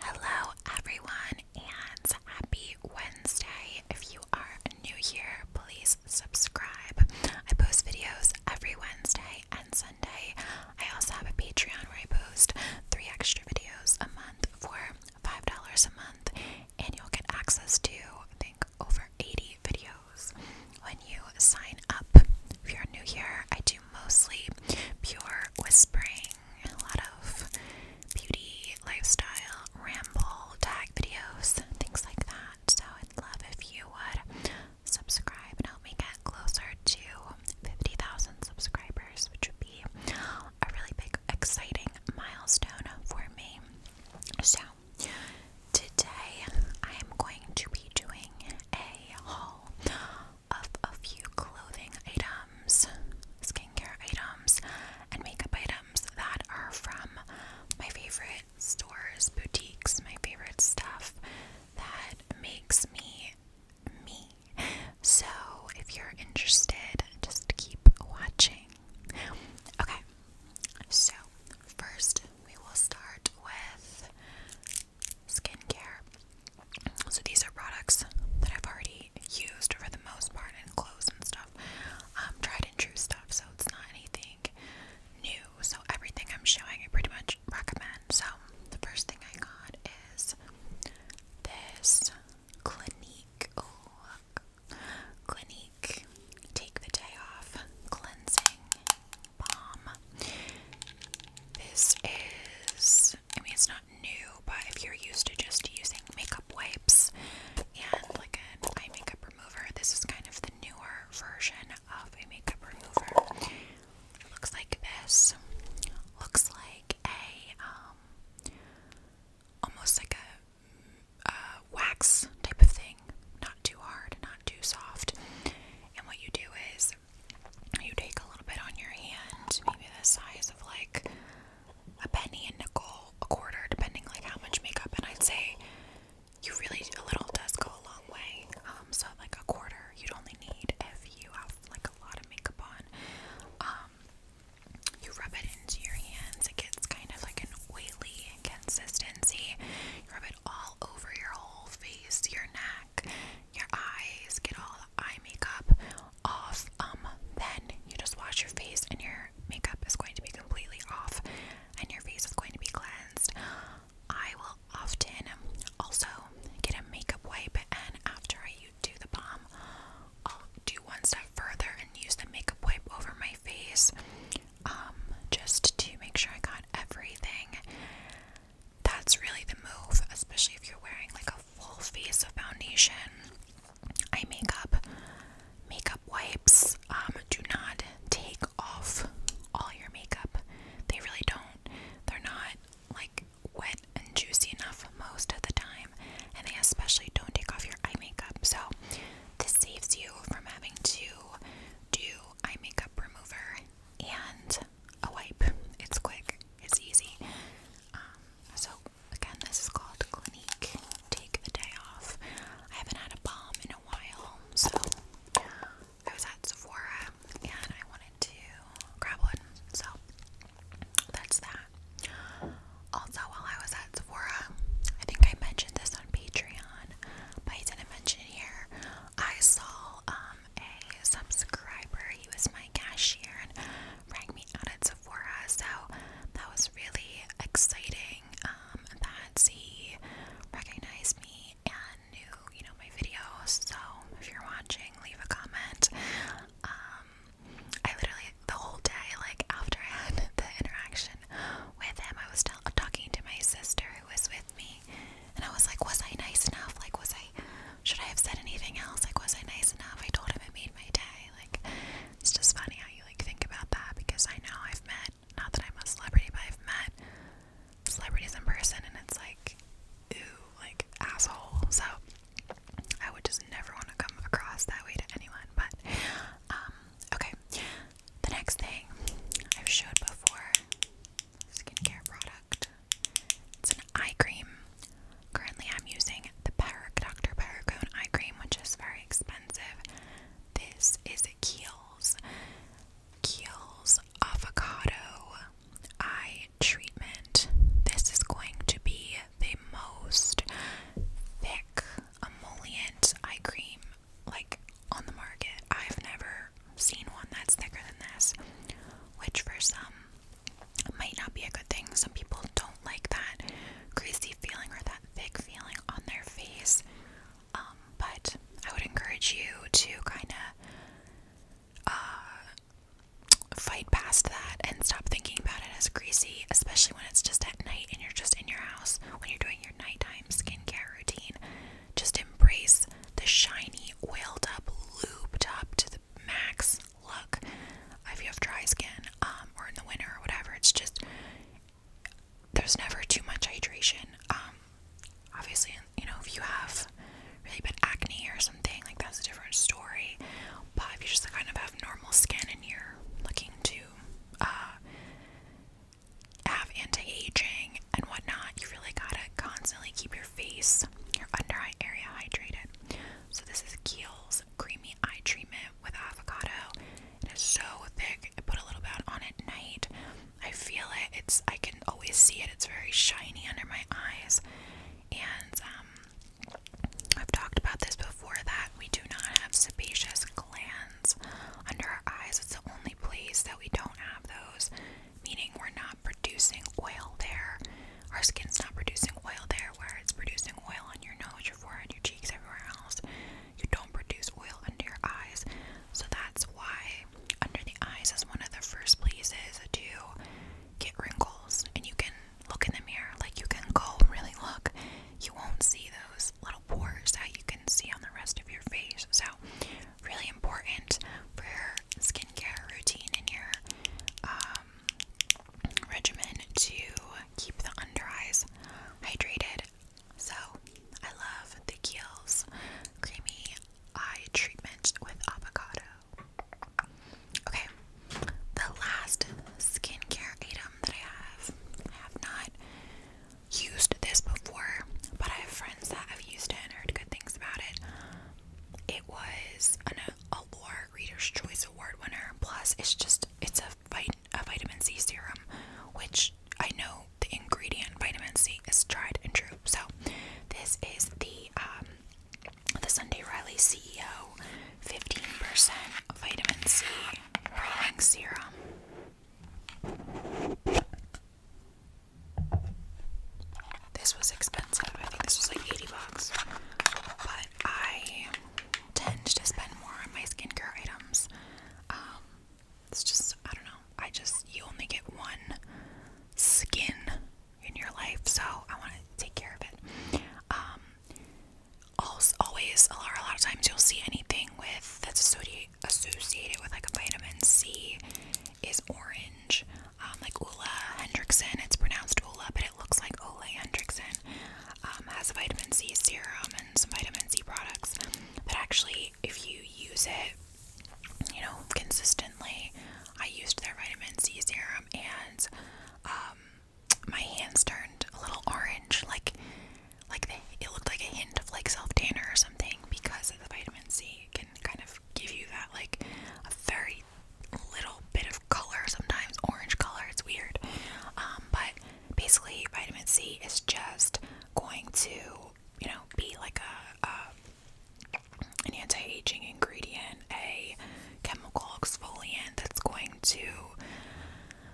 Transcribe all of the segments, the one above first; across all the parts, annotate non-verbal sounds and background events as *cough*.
Hello, everyone, and happy Wednesday. If you are new here, please subscribe. I post videos every Wednesday and Sunday. I also have a Patreon where I post three extra videos a month for $5 a month, and you'll get access to, I think, over 80 videos when you sign up. If you're new here, I do mostly pure whispering a lot of beauty, lifestyle, ramble, tag videos, things like that. So I'd love if you would subscribe and help me get closer to 50,000 subscribers, which would be a really big, exciting milestone for me. So today I am going to be doing a haul of a few clothing items, skincare items, and makeup items that are from my favorite stores, boutiques, my favorite stuff that makes me me. So if you're interested, just keep watching. Okay, so first we will start with skincare. So these are products that I've already used for the most part in clothes and stuff. Um, tried and true stuff, so it's not anything new. So everything I'm showing I pretty much recommend. So the first thing I got is this Clinique. Oh Clinique Take the Day Off Cleansing Balm. This is I mean it's not new, but if you're used to just using makeup wipes and like a eye makeup remover, this is kind of the newer version of a makeup remover. looks like this. Looks like a um almost like a, a wax type of thing. Not too hard, not too soft. And what you do is you take a little bit on your hand, maybe the size of like a penny, and nickel, a quarter, depending like how much makeup. And I'd say you really a little does go a long way. Um, so like a quarter you'd only need if you have like a lot of makeup on. Um, you rub it into your hands, it gets kind of like an oily consistency. You rub it all over your whole face, your neck your eyes, get all the eye makeup off. Um, then you just wash your face and your makeup is going to be completely off and your face is going to be cleansed. I will often also get a makeup wipe and after I do the balm, I'll do one step further and use the makeup wipe over my face um, just to make sure I got everything. That's really the move, especially if you're wearing like a full face of foundation, eye makeup, makeup wipes. Um, do not take off all your makeup. They really don't. They're not like wet and juicy enough most of the time, and they especially don't take off your eye makeup. So this saves you from having to do eye makeup remover and a wipe. It's quick. It's easy. Um, so, again, this is called Clinique Take the Day Off. I haven't had a balm in a while, so I was at Sephora and I wanted to grab one. So, that's that. Also, while I was at Sephora, I think I mentioned this on Patreon, but I didn't mention it here. I saw um, a subscriber, he was my cashier, and rang me out at Sephora, so that was really exciting um, that he recognized me and knew, you know, my videos. So if you're watching, leave a comment. Um, I literally the whole day, like after I had *laughs* the interaction with him, I was still talking to my sister who was with me, and I was like, "Was I nice enough? Like, was I should I have said anything else? Like, was I nice enough? I told him it made my day. Like, it's just funny how you like think about that because I know I've met not that I'm a celebrity, but I've met celebrities in person, and it's like, ooh, like asshole. So I would just never want to come across that way to anyone. But um, okay, the next thing I've showed before skincare product. It's an eye cream. Currently, I'm using the Parac Dr. Paracone eye cream, which is very expensive. This is Kiehl's Kiehl's Avocado Eye Treatment. This is going to be the most thick emollient eye cream like on the market. I've never seen one that's thicker than this, which for some it might not be a good thing. Some people don't like that greasy feeling or that thick feeling on their face. Um, but I would encourage you to kind of uh, fight past that and stop thinking about it as greasy, especially when it's just at night and you're just in your house when you're doing your nighttime skincare routine. Just embrace the shiny, oiled up, lubed up to Max Look. If you have dry skin, um, or in the winter or whatever, it's just there's never too much hydration. Um, obviously, you know, if you have really bad acne or something, like that's a different story. But if you just kind of have normal skin and you're looking to uh, have anti-aging and whatnot, you really gotta constantly keep your face, your under eye area hydrated. So this is Kiehl's Creamy Eye Treatment with avocado. It is so thick. I put a little bit on at night. I feel it. It's I can always see it. It's very shiny under my eyes. And um, I've talked about this before that we do not have sebaceous glands under our eyes. It's the only place that we don't have those, meaning we're not producing oil there our skin's not producing oil there where it's producing oil on your nose, your forehead, your cheeks, everywhere else. You don't produce oil under your eyes. So that's why under the eyes is one of the first places to get wrinkles. And you can look in the mirror, like you can go really look. You won't see those little pores that you can see on the rest of your face. So really important for your skincare routine and your um, regimen to keep the under eyes hydrated. So I love the Kiehl's creamy eye treatment with avocado. Okay, the last skincare item that I have, have not used this before, but I have friends that have used and heard good things about it. It was an, Reader's Choice Award winner. Plus, it's just it's a, vit a vitamin C serum, which I know the ingredient vitamin C is tried and true. So, this is the um, the Sunday Riley CEO 15% vitamin C brightening serum. This was expensive. I think this was like 80 bucks. But I tend to spend more on my skincare items. Um, it's just, I don't know. I just, you only get one skin in your life, so I want to take care of it. Um, also, always, a lot, of times you'll see anything with that's associated associated with like a vitamin C is orange um, like Ola Hendrickson. It's pronounced Ola, but it looks like Ola Hendrickson. Um, has a vitamin C serum and some vitamin C products. But actually, if you use it, you know, consistently, I used their vitamin C serum and um, my hands turned a little orange, like like it looked like a hint of like self tanner or something because the vitamin C. can kind of give you that like a very little bit of color, sometimes orange color. It's weird. Um, but basically, vitamin C is just going to, you know, be like a, an anti-aging ingredient, a chemical exfoliant that's going to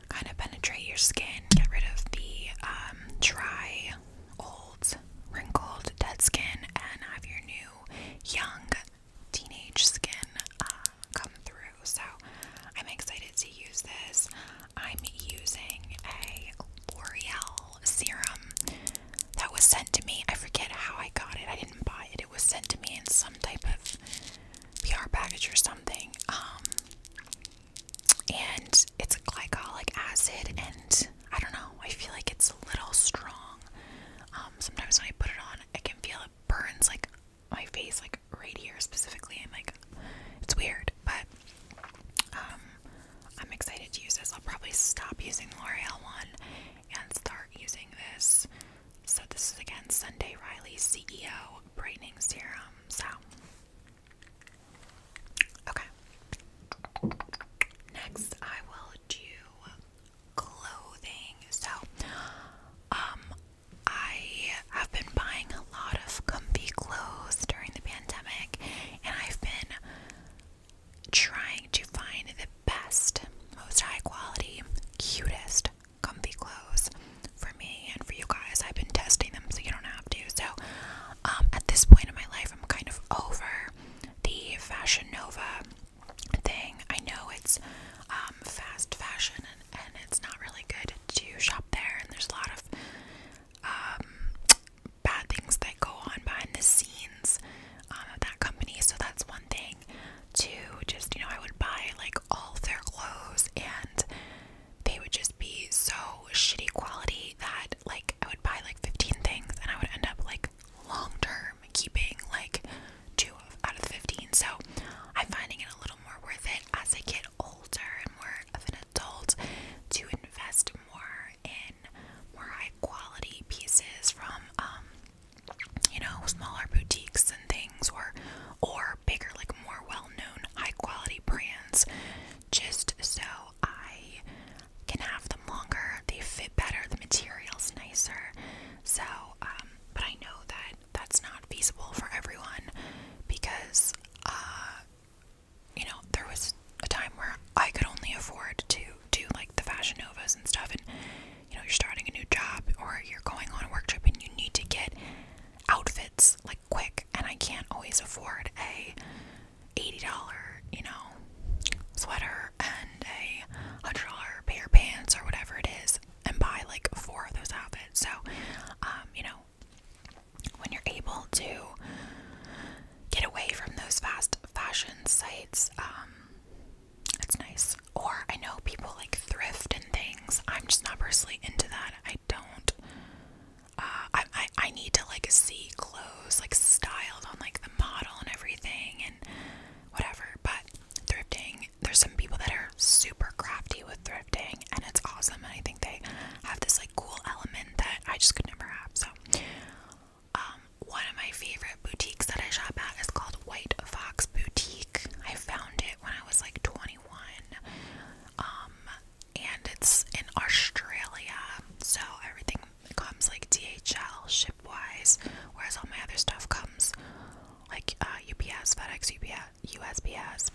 kind of penetrate your skin, get rid of the um, dry, old, wrinkled, dead skin, and have your new, young, teenage skin uh, come through. So I'm excited to use this. I'm using a L'Oreal serum that was sent to me. I forget how I got it. I didn't buy it. It was sent to me in some type of PR package or something. Um, and it's glycolic acid, and I don't know. I feel like it's a little strong. Um, sometimes when I put it on, I can feel it burns like my face, like right here specifically, and like it's weird, but um, I'm excited to use this. I'll probably stop using the L'Oreal one and start using this. So, this is again Sunday Riley CEO Brightening Serum. So, okay. Next, I will do clothing. So, um, I have been buying a lot of comfy clothes during the pandemic, and I've been trying to find the best, most high quality, cutest comfy clothes for me and for you guys. I've been testing them so you don't have to. So, um, at this point in my life, I'm kind of over the Fashion Nova thing. I know it's um, fast fashion and, and it's not really good to shop there, and there's a lot of um, bad things that go on behind the scenes um, of that company. So that's one thing. To just, you know, I would buy like all their clothes and they would just be so shitty quality that like I would buy like 15 things and I would end up like long term keeping like two out of the 15. So I'm finding it a little more worth it as I get older and more of an adult to invest more in more high quality pieces from, um, you know, smaller boutiques and things or, or bigger, like more well known high quality brands just so I can have them longer. They fit better, the material's nicer, so, um, but I know that that's not feasible for everyone because, uh, you know, there was a time where I could only afford to do like the Fashion Novas and stuff, and you know, you're starting a new job or you're going on a work trip and you need to get outfits like quick, and I can't always afford a $80, you know, sweater and a a dollar pair of pants or whatever it is and buy like four of those outfits. So, um, you know, when you're able to get away from those fast fashion sites, um, nice. Or I know people like thrift and things. I'm just not personally into that. I don't. Uh, I, I I need to like see clothes like styled on like the model and everything and whatever. But thrifting. There's some people that are super crafty with thrifting, and it's awesome. And I think they have this like cool element that I just could never have. So, um, one of my favorite boutiques that I shop at is called White Fox Boutique. I found it when I was like 21. Um, and it's in Australia, so everything comes like DHL ship wise, whereas all my other stuff comes like UPS, uh, FedEx, UPS, USPS.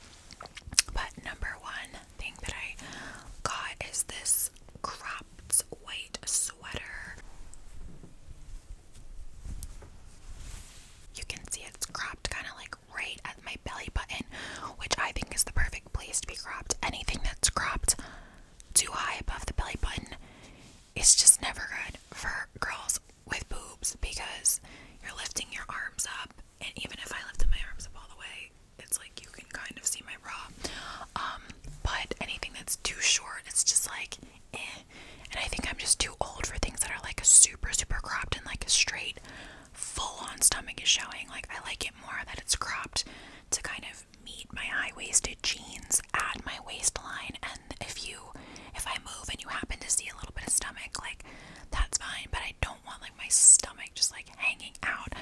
But number one thing that I got is this cropped white sweater. You can see it's cropped kind of like right at my belly button, which I think is the perfect place to be cropped. Anything that's cropped too high above the belly button it's just never good for girls with boobs because you're lifting your arms up, and even if I lifted my arms up all the way, it's like you can kind of see my bra. Um, but anything that's too short, it's just like eh. And I think I'm just too old for things that are like super, super cropped and like a straight, full on stomach is showing. Like, I like it more that it's cropped to kind of meet my high waisted jeans at my waistline and if you if I move and you happen to see a little bit of stomach, like that's fine, but I don't want like my stomach just like hanging out.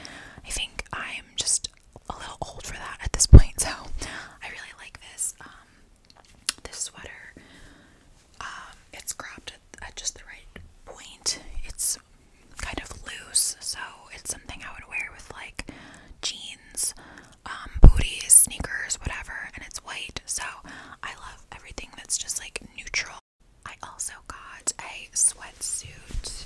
I think I'm just a little old for that at this point, so I really like this um this sweater. Um it's cropped at just the right point. It's kind of loose, so it's something I would wear with like jeans um, booties, sneakers, whatever, and it's white. So I love everything that's just like neutral. I also got a sweat suit.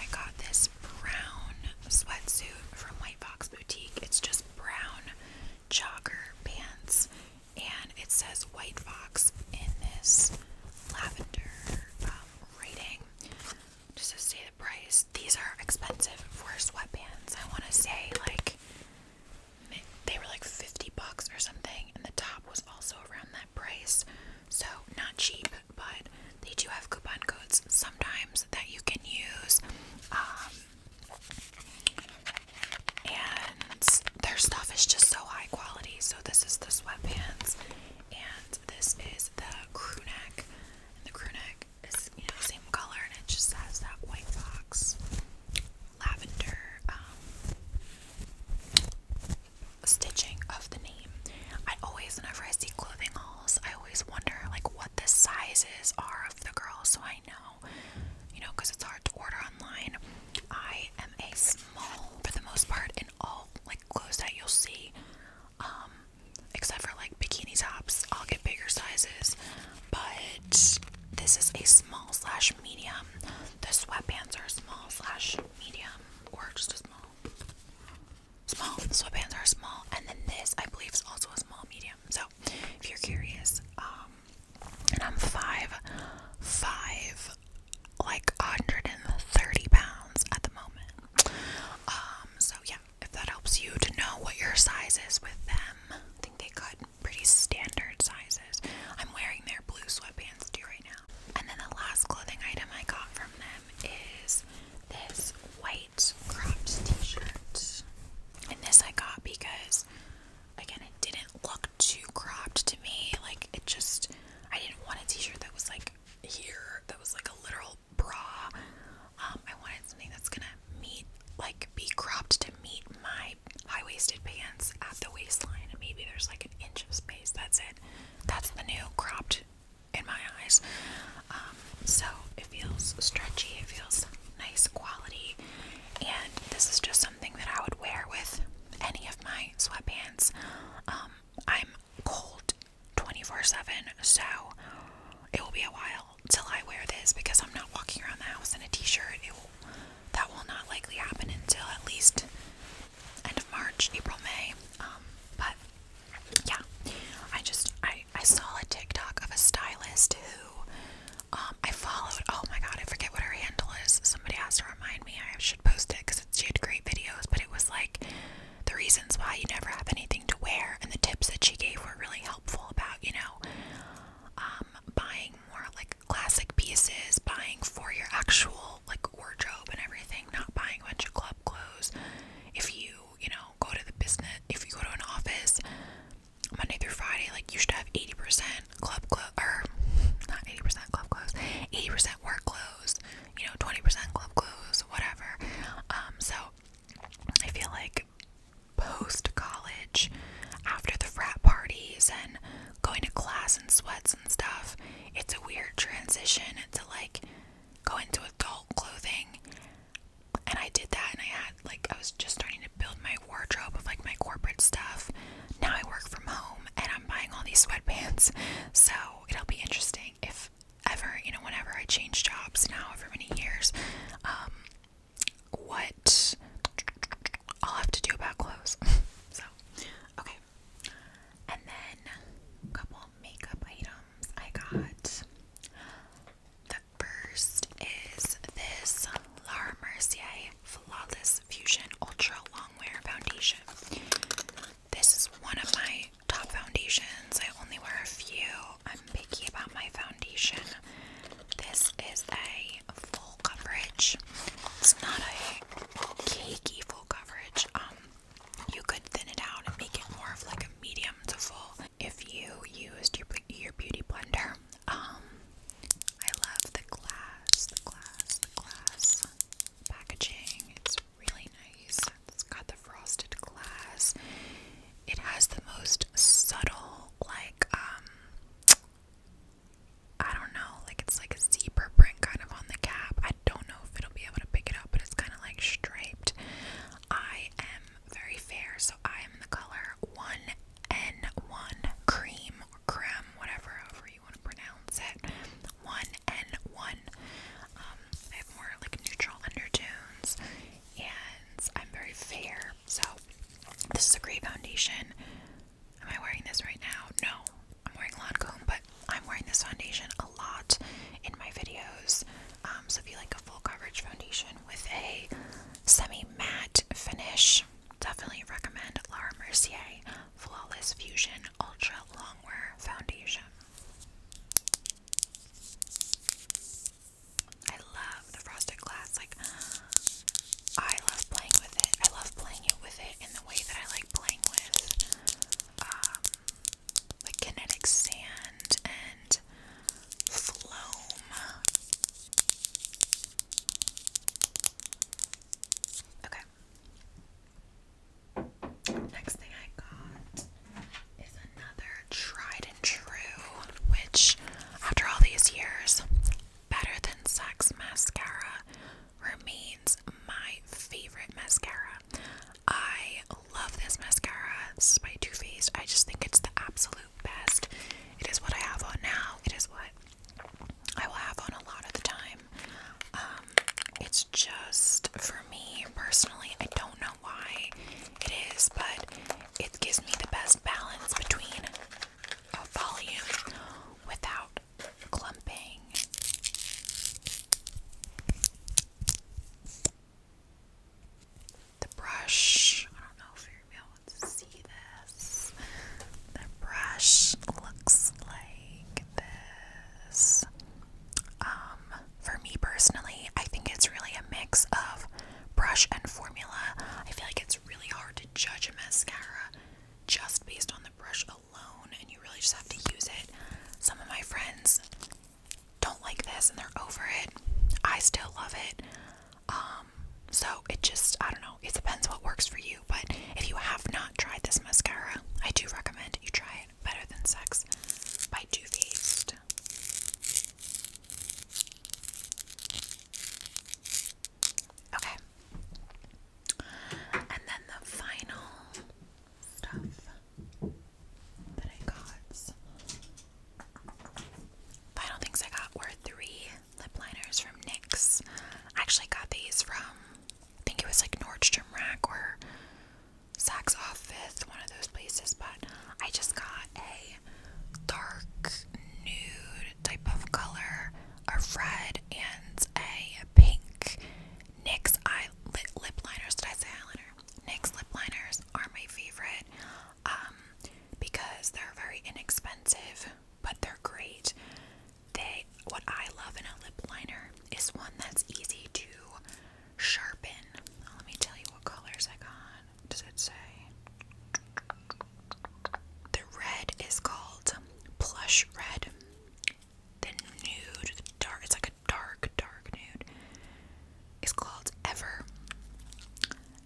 I got this brown sweat suit from White Fox Boutique. It's just brown jogger pants, and it says White Fox in this lavender um, writing. Just to say the price? These are expensive for sweatpants. I want to say like they were like 50 bucks or something, and the top was also around that price. So, not cheap, but they do have coupon codes sometimes that you can use. Um, and their stuff is just so high quality. So, this is the sweatpants, and this is the crew neck. And the crew neck is you know same color and it just has that white fox lavender um, stitching of the name. I always whenever I see clothing hauls, I always wonder like what the sizes are of the girl so I know. You know, because it's hard to order online. I am a small for the most part in all like clothes that you'll see. Um except for like bikini tops. I'll get bigger sizes, but this is a small slash medium. The sweatpants are small slash medium or just a small. Small sweatpants are small, and then this I believe is also a small medium. So if you're curious, um, and I'm five, five, like 130 pounds at the moment. Um, so yeah, if that helps you to know what your size is with them. I think they cut pretty standard sizes. I'm wearing their blue sweatpants too right now. And then the last clothing item I got from them is this white cropped t shirt. And this I got because, again, it didn't look too cropped to me. Like, it just, I didn't want a t shirt that was like here, that was like a literal bra. Um, I wanted something that's gonna meet, like, be cropped to meet my high-waisted pants at the waistline. maybe there's like an inch of space. That's it. That's the new cropped in my eyes. Um, so it feels stretchy. It feels nice quality. And this is just something that I would wear with any of my sweatpants. Um, I'm cold 24 7, so it will be a while till I wear this because I'm not walking around the house in a t-shirt. It will, that will not likely happen until at least end of March, April, May. Um, but yeah, I just I I saw a TikTok of a stylist who um, I followed. Oh my god, I forget what her handle is. Somebody has to remind me. I should post it because she had great videos. But it was like the reasons why you never have anything to wear, and the tips that she gave were really helpful about, you know, um, buying more like classic pieces, buying for your actual like wardrobe and everything, not buying a bunch of club clothes. If you, you know, go to the business, if you go to an office Monday through Friday, like you should have 80% club clothes, or not 80% club clothes, 80% work clothes, you know, 20% club clothes, whatever. Um, so I feel like post college, after the frat parties and going to class and sweats and stuff, it's a weird transition to like go into adult clothing. And I did that, and I had like, I was just starting to build my wardrobe of like my corporate stuff. Now I work from home and I'm buying all these sweatpants, so it'll be interesting if ever, you know, whenever I change jobs now, however many years, um, what I'll have to do about clothes. *laughs* so, okay. And then a couple makeup items I got. The first is this Laura Mercier Flawless Fusion Ultra Long Wear Foundation. This is one of my top foundations. I only wear a few. I'm picky about my foundation. This is a full coverage. It's not a cakey full coverage. Um, you could thin it out and make it more of like a medium to full if you used your your beauty blender. Um, I love the glass, the glass, the glass packaging. It's really nice. It's got the frosted glass. It has the most subtle, like, um, I don't know, like it's like a zebra print kind of on the cap. I don't know if it'll be able to pick it up, but it's kind of like striped. I am very fair, so I am the color 1N1 cream or creme, whatever, you want to pronounce it. 1N1. Um, I have more like neutral undertones, and I'm very fair. So, this is a great foundation. Am I wearing this right now? No, I'm wearing Lancome, but I'm wearing this foundation a lot in my videos. Um, so, if you like a full coverage foundation with a semi matte finish, definitely recommend Laura Mercier Flawless Fusion Ultra Longwear Foundation. I love the frosted glass. Like, I love playing with it. I love playing with it in the way that I like playing with, um, like kinetic sand and floam. Okay. Next thing I got is another tried and true, which, after all these years, Better Than Sex mascara remains my favorite mascara. I love this mascara. This is by Too Faced. I just think it's the absolute best. It is what I have on now. It is what I will have on a lot of the time. Um, it's just for me personally, I don't know why it is, but it gives me the best balance between a volume without clumping. The brush, I don't know if you'll able to see this. The brush looks like this. Um, for me personally, I think it's really a mix of brush and formula. I feel like it's really hard to judge a mascara just based on the brush alone, and you really just have to use it. Some of my friends don't like this and they're over it. I still love it. Um, so it just, I don't know, it depends what works for you. But if you have not tried this mascara, I do recommend you try it. Better Than Sex by Too Faced. Okay. And then the final stuff that I got. Final things I got were three lip liners from NYX. I actually got these from, I think it was like Nordstrom Rack or Saks Office, one of those places, but I just got a dark nude type of color, a red and a pink. NYX eye lip, lip liners, did I say eyeliner? NYX lip liners are my favorite um, because they're very inexpensive, but they're great. They, what I love in a lip liner is one that's easy to Sharpen. Let me tell you what colors I got. Does it say? The red is called Plush Red. The nude, dark, it's like a dark, dark nude, is called Ever.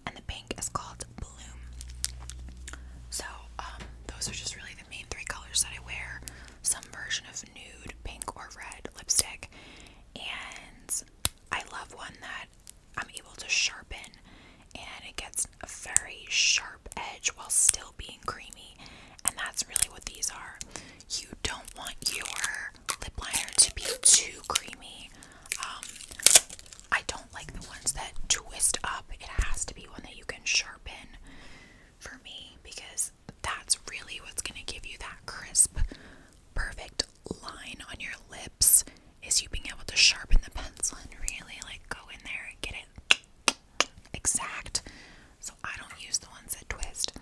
And the pink is called Bloom. So, um, those are just really the main three colors that I wear. Some version of nude, pink, or red lipstick. And I love one that I'm able to sharpen and it gets a very sharp edge while still being creamy. And that's really what these are. You don't want your lip liner to be too creamy. Um, I don't like the ones that twist up. It has to be one that you can sharpen for me because that's really what's going to give you that crisp, perfect line on your lips is you being able to sharpen the pencil and really like go in there and get it exact. So I don't use the ones that twist.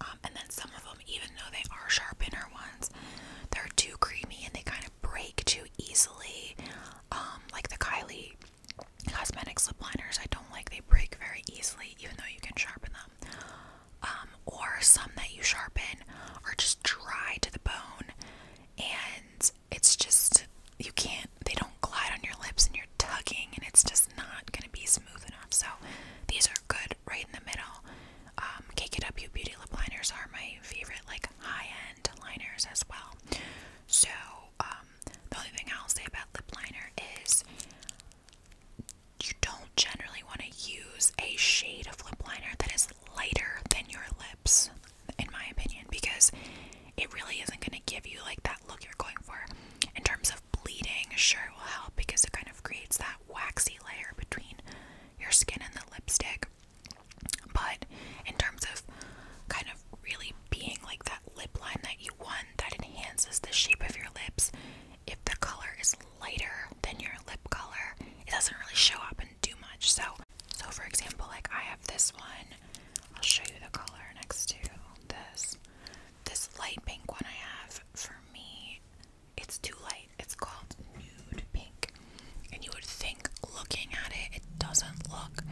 Um, and then some of them, even though they are sharpener ones, they're too creamy and they kind of break too easily. Um, like the Kylie cosmetic lip liners, I don't like. They break very easily, even though you can sharpen them. Um, or some that you sharpen are just dry to the bone and it's just you can't they don't glide on your lips and you're tugging and it's just not gonna be smooth enough so these are good right in the middle um, KKW beauty lip liners are my favorite like high-end liners as well so um, the only thing I'll say about lip liner is you don't generally want to use a shade of lip liner that is lighter than your lips, in my opinion, because it really isn't going to give you like that look you're going for. In terms of bleeding, sure, it will help because it kind of creates that waxy layer between your skin and the lipstick. But in terms of kind of really being like that lip line that you want that enhances the shape of your lips, if the color is lighter than your lip color, it doesn't really show up and do much. So, so for example, like I have this one. I'll show you the color next to this. This light pink one I have for me, it's too light. It's called nude pink. And you would think looking at it, it doesn't look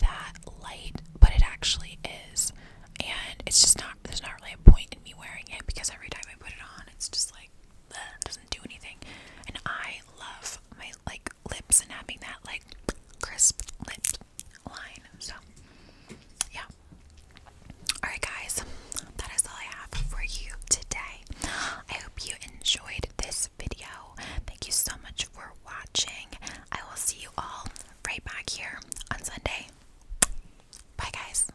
that light, but it actually is. And it's just not, there's not really a point in me wearing it because every time I put it on, it's just like doesn't do anything. And I love my like lips and having that like crisp lip line. So yeah. Alright guys, that is all I have for you today. I hope you enjoyed this video. Thank you so much for watching. I will see you all right back here on Sunday. Bye guys.